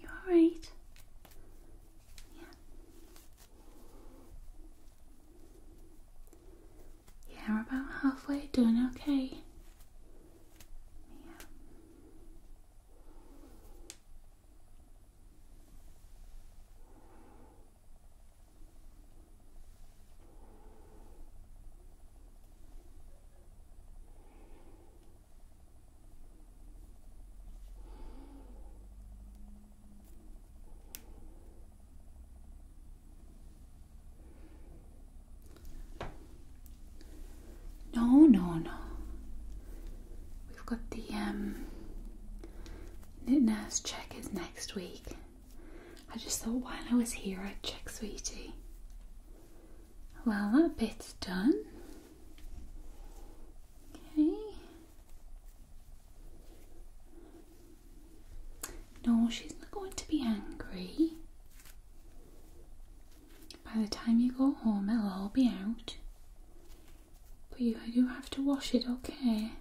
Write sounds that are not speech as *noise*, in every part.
You are all right? Yeah. Yeah, we're about halfway. done. okay. Yeah. No, no, no. We've got the um, nurse check is next week. I just thought while I was here I'd check, sweetie. Well, that bit's done. Okay. No, she's not going to be angry. By the time you go home, it'll all be out. But you do have to wash it, okay?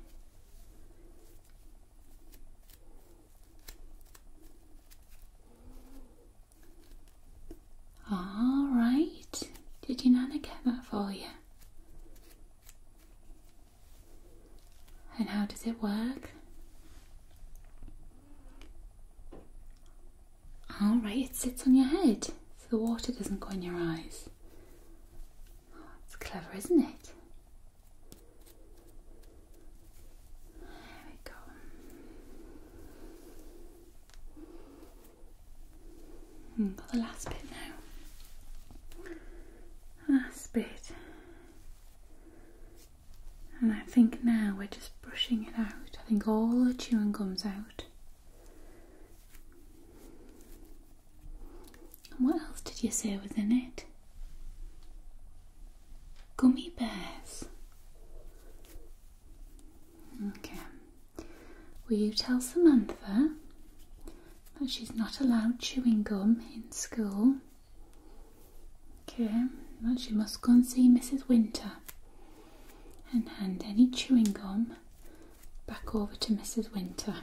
All right. Did your nana get that for you? And how does it work? All right, it sits on your head so the water doesn't go in your eyes. It's clever, isn't it? There we go. Hmm, got the last bit now. Last bit. And I think now we're just brushing it out. I think all the chewing gum's out. And what else did you say was in it? Gummy bears. Okay. Will you tell Samantha that she's not allowed chewing gum in school? Okay, that she must go and see Mrs. Winter and hand any chewing gum back over to Mrs. Winter.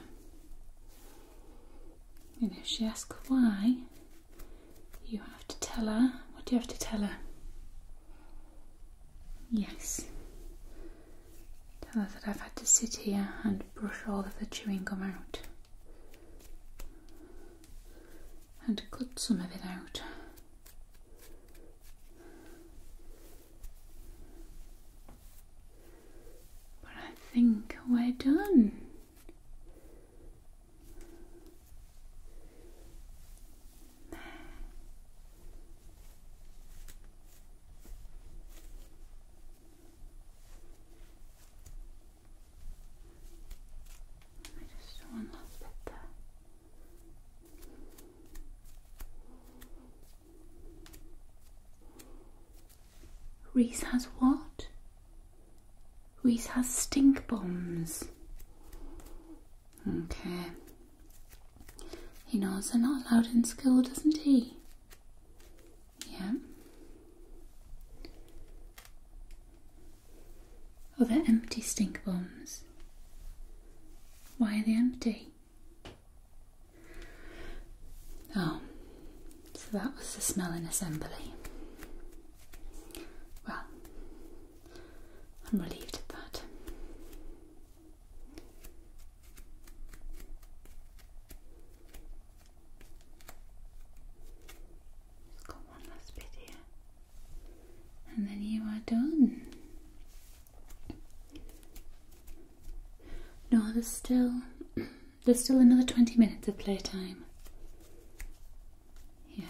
And if she asks why, you have to tell her. What do you have to tell her? Yes. Tell her that I've had to sit here and brush all of the chewing gum out. And cut some of it out. But I think we're done. 네. I just want to bit there. Reese has what? Reese has stink bombs. Okay. He knows they're not allowed in school, doesn't he? Yeah. Are oh, they empty stink bombs. Why are they empty? Oh, so that was the smelling assembly. Well, I'm relieved at that. got one last bit here. And then you are done. No, there's still *clears throat* There's still another 20 minutes of playtime. Yeah.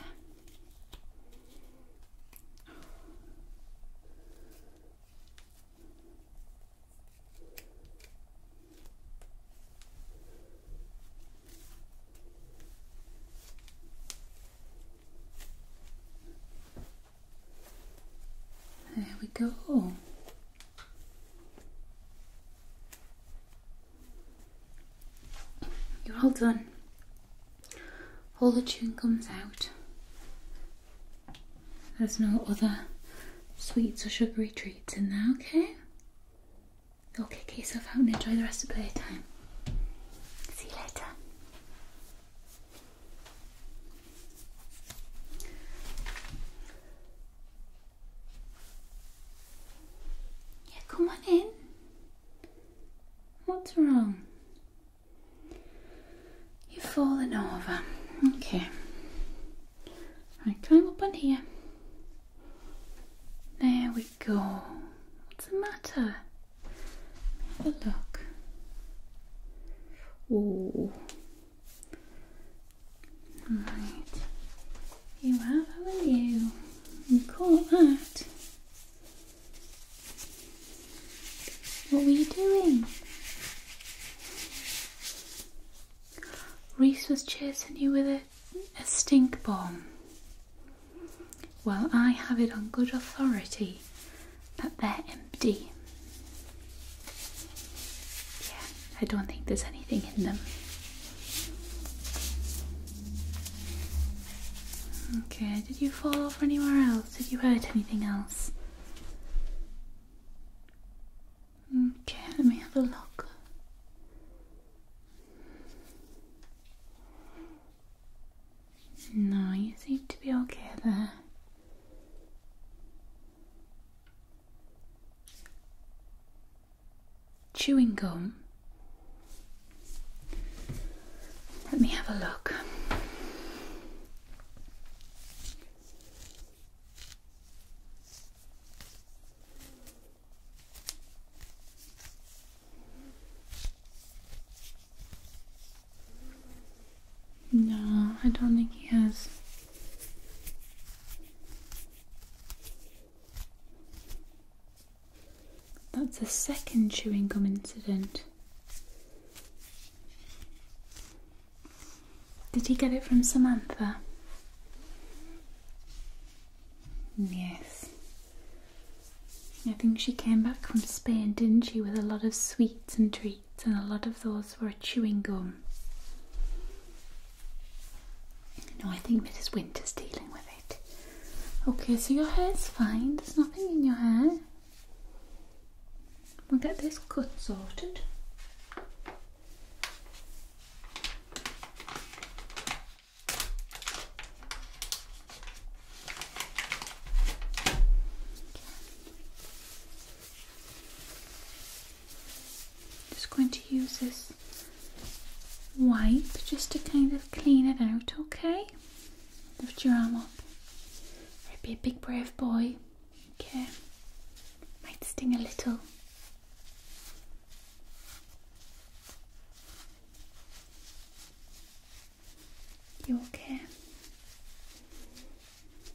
There we go. You're all done. All the tune comes out. There's no other sweets or sugary treats in there, okay? Go kick yourself out and enjoy the rest of playtime. See you later. Yeah, come on in. What's wrong? You've fallen over. Okay. I climb up on here. There we go. What's the matter? Have a look. Ooh you have, haven't you? You caught that. What were you doing? Reese was chasing you with a, a stink bomb. Well, I have it on good authority that they're empty. Yeah, I don't think there's anything in them. Okay, did you fall off anywhere else? Did you hurt anything else? Okay, let me have a look. No, you seem to be okay there. Chewing gum. Let me have a look. No, I don't think he has. That's the second chewing gum incident. Did he get it from Samantha? Yes. I think she came back from Spain, didn't she, with a lot of sweets and treats and a lot of those straws for chewing gum. No, I think Mrs. Winter's dealing with it. Okay, so your hair's fine, there's nothing in your hair. We'll get this cut sorted. Just going to use this wipe just to kind of clean it out, okay? Lift your arm up. Right, be a big brave boy. Okay. Might sting a little. You okay?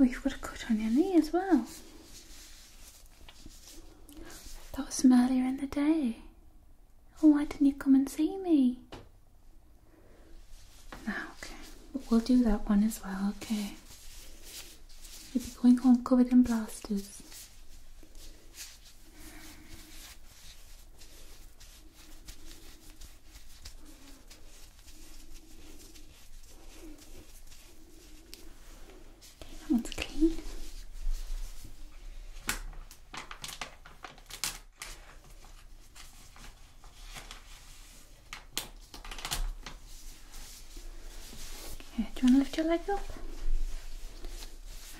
Oh, you've got a cut on your knee as well. That was from earlier in the day. Oh, why didn't you come and see me? ah, okay. we'll do that one as well, okay? You'll be going home covered in blasters. Okay, that one's clean. do you want to lift your leg up?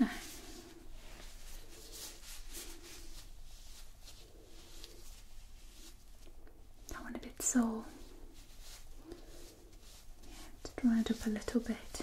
Ah. That one a bit sore. Yeah, to dry it up a little bit.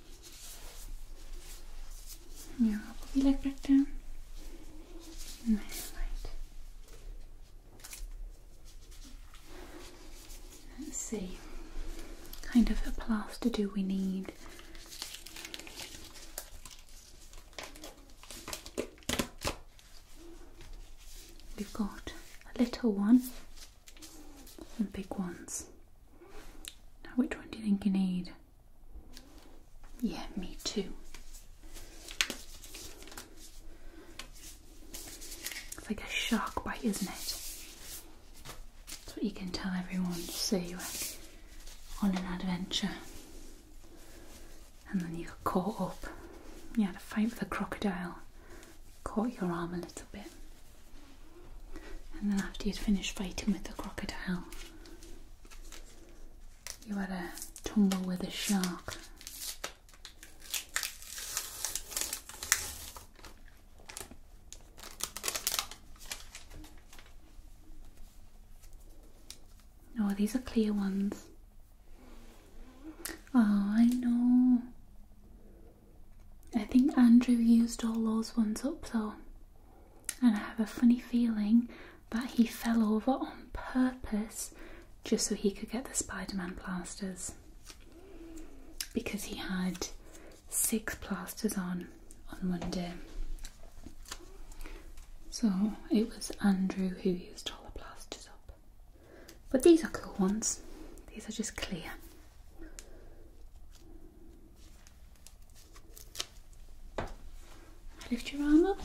Yeah, probably like back down. No, right. Let's see. What kind of a plaster do we need? We've got a little one and big ones. Now which one do you think you need? Yeah, me too. It's like a shark bite, isn't it? That's what you can tell everyone. So you were on an adventure and then you got caught up. You had a fight with a crocodile, caught your arm a little bit. And then after you'd finished fighting with the crocodile, you had a tumble with a shark. Oh, these are clear ones. Oh, I know. I think Andrew used all those ones up though and I have a funny feeling that he fell over on purpose just so he could get the Spider Man plasters because he had six plasters on on Monday. So it was Andrew who used all the plasters up. But these are cool ones, these are just clear. Lift your arm up.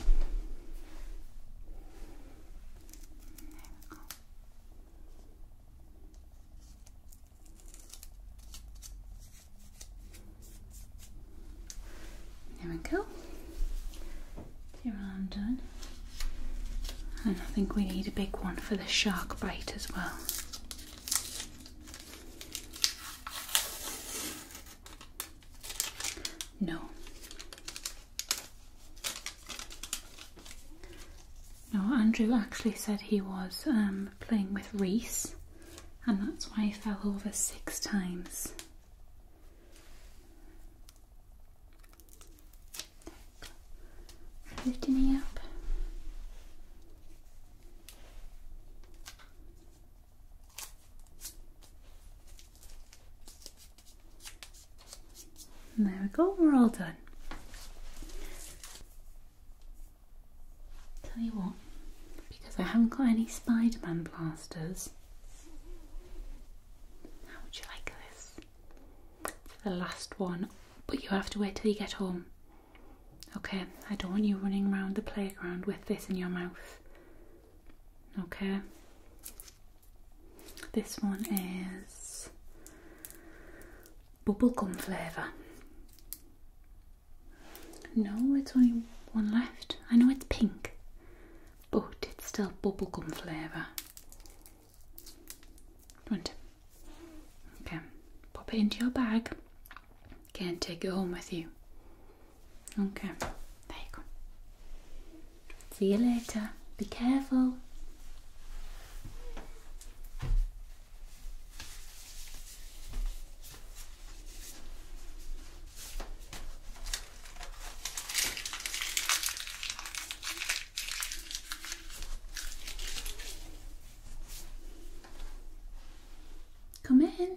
There we go. There we go. Your arm done. And I think we need a big one for the shark bite as well. No. No, Andrew actually said he was um, playing with Reese and that's why he fell over six times. Lifting me up there we go, we're all done. Tell you what, because I haven't got any Spider Man plasters, how would you like this? It's the last one, but you have to wait till you get home. Okay, I don't want you running around the playground with this in your mouth. Okay. This one is bubblegum flavour. No, it's only one left. I know it's pink, but it's still bubblegum flavour. Do Okay, pop it into your bag. Can't take it home with you. Okay, there you go. See you later. Be careful. Come in.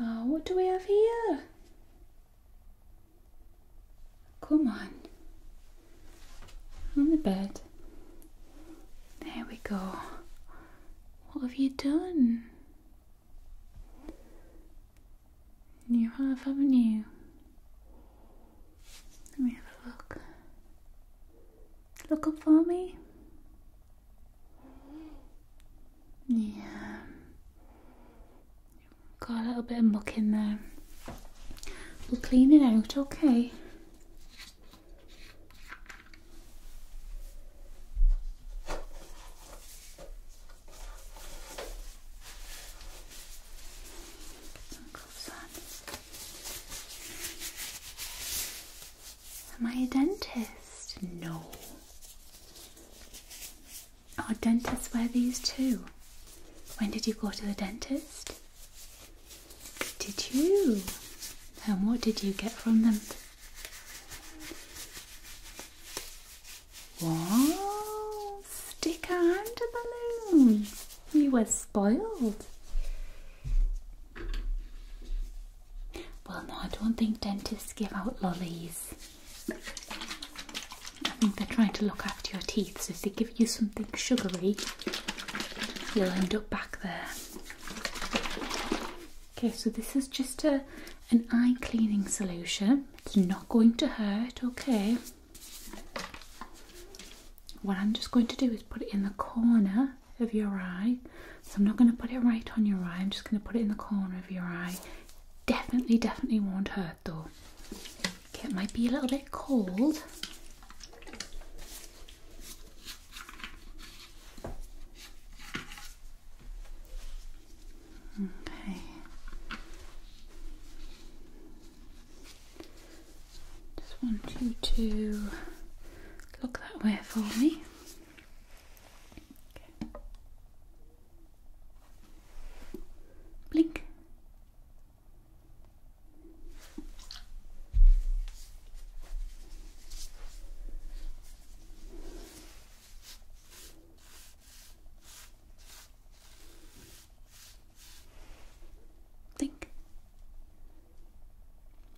Ah, what do we have here? Come on. On the bed. There we go. What have you done? New have, haven't you? Let me have a look. Look up for me. Yeah. Got a little bit of muck in there. We'll clean it out, okay? Am I a dentist? No. Our dentists wear these too. When did you go to the dentist? Did you? And what did you get from them? Wow! Sticker and a balloon! You were spoiled. Well, no, I don't think dentists give out lollies. I think they're trying to look after your teeth, so if they give you something sugary, you'll end up back there. Okay, so this is just a an eye cleaning solution. It's not going to hurt, okay? What I'm just going to do is put it in the corner of your eye. So I'm not going to put it right on your eye, I'm just going to put it in the corner of your eye. Definitely, definitely won't hurt though. Okay, it might be a little bit cold. Okay. Just want you to look that way for me. Okay. Blink. Blink.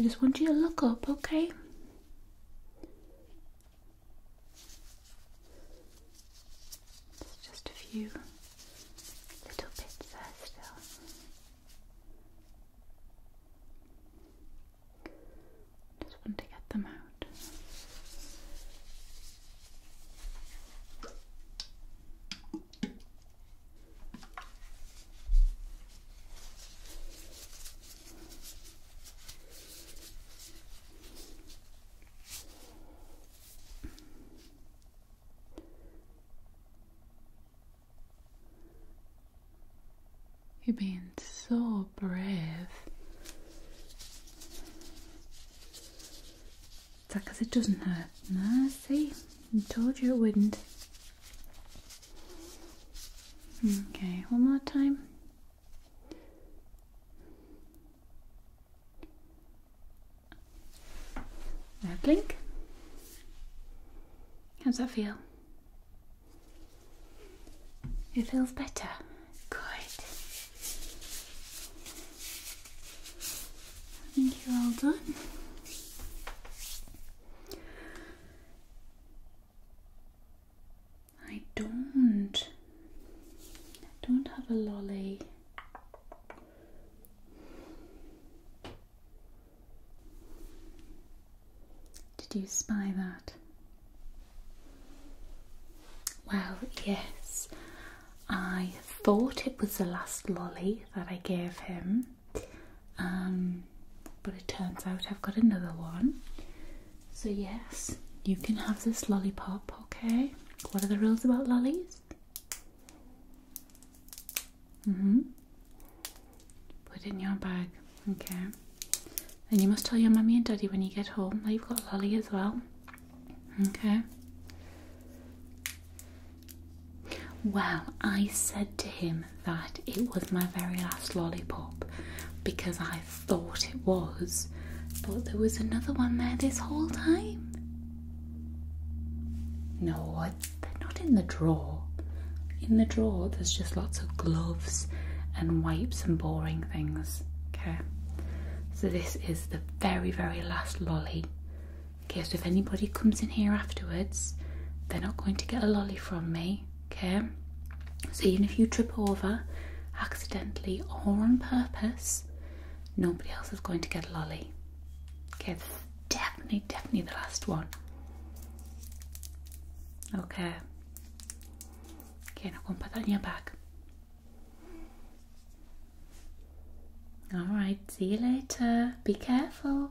I just want you to look up, okay? There's just a few little bits there still. Just want to get them out. You're being so brave. Is that because it doesn't hurt? No, see? I told you it wouldn't. Okay, one more time. Now blink. How's that feel? It feels better. Good. I think you're all done. I don't. don't have a lolly. Did you spy that? Well, yes. I thought it was the last lolly that I gave him, um, but it turns out I've got another one. So, yes, you can have this lollipop, okay? What are the rules about lollies? Mm hmm. Put it in your bag, okay? And you must tell your mummy and daddy when you get home that you've got lolly as well, okay? Well, I said to him that it was my very last lollipop because I thought it was, but there was another one there this whole time. No, they're not in the drawer. In the drawer, there's just lots of gloves and wipes and boring things. Okay, so this is the very, very last lolly. Okay, so if anybody comes in here afterwards, they're not going to get a lolly from me. Okay, so even if you trip over accidentally or on purpose, nobody else is going to get a lolly. Okay, definitely, definitely the last one. Okay. Okay, now go and put that in your bag. Alright, see you later. Be careful.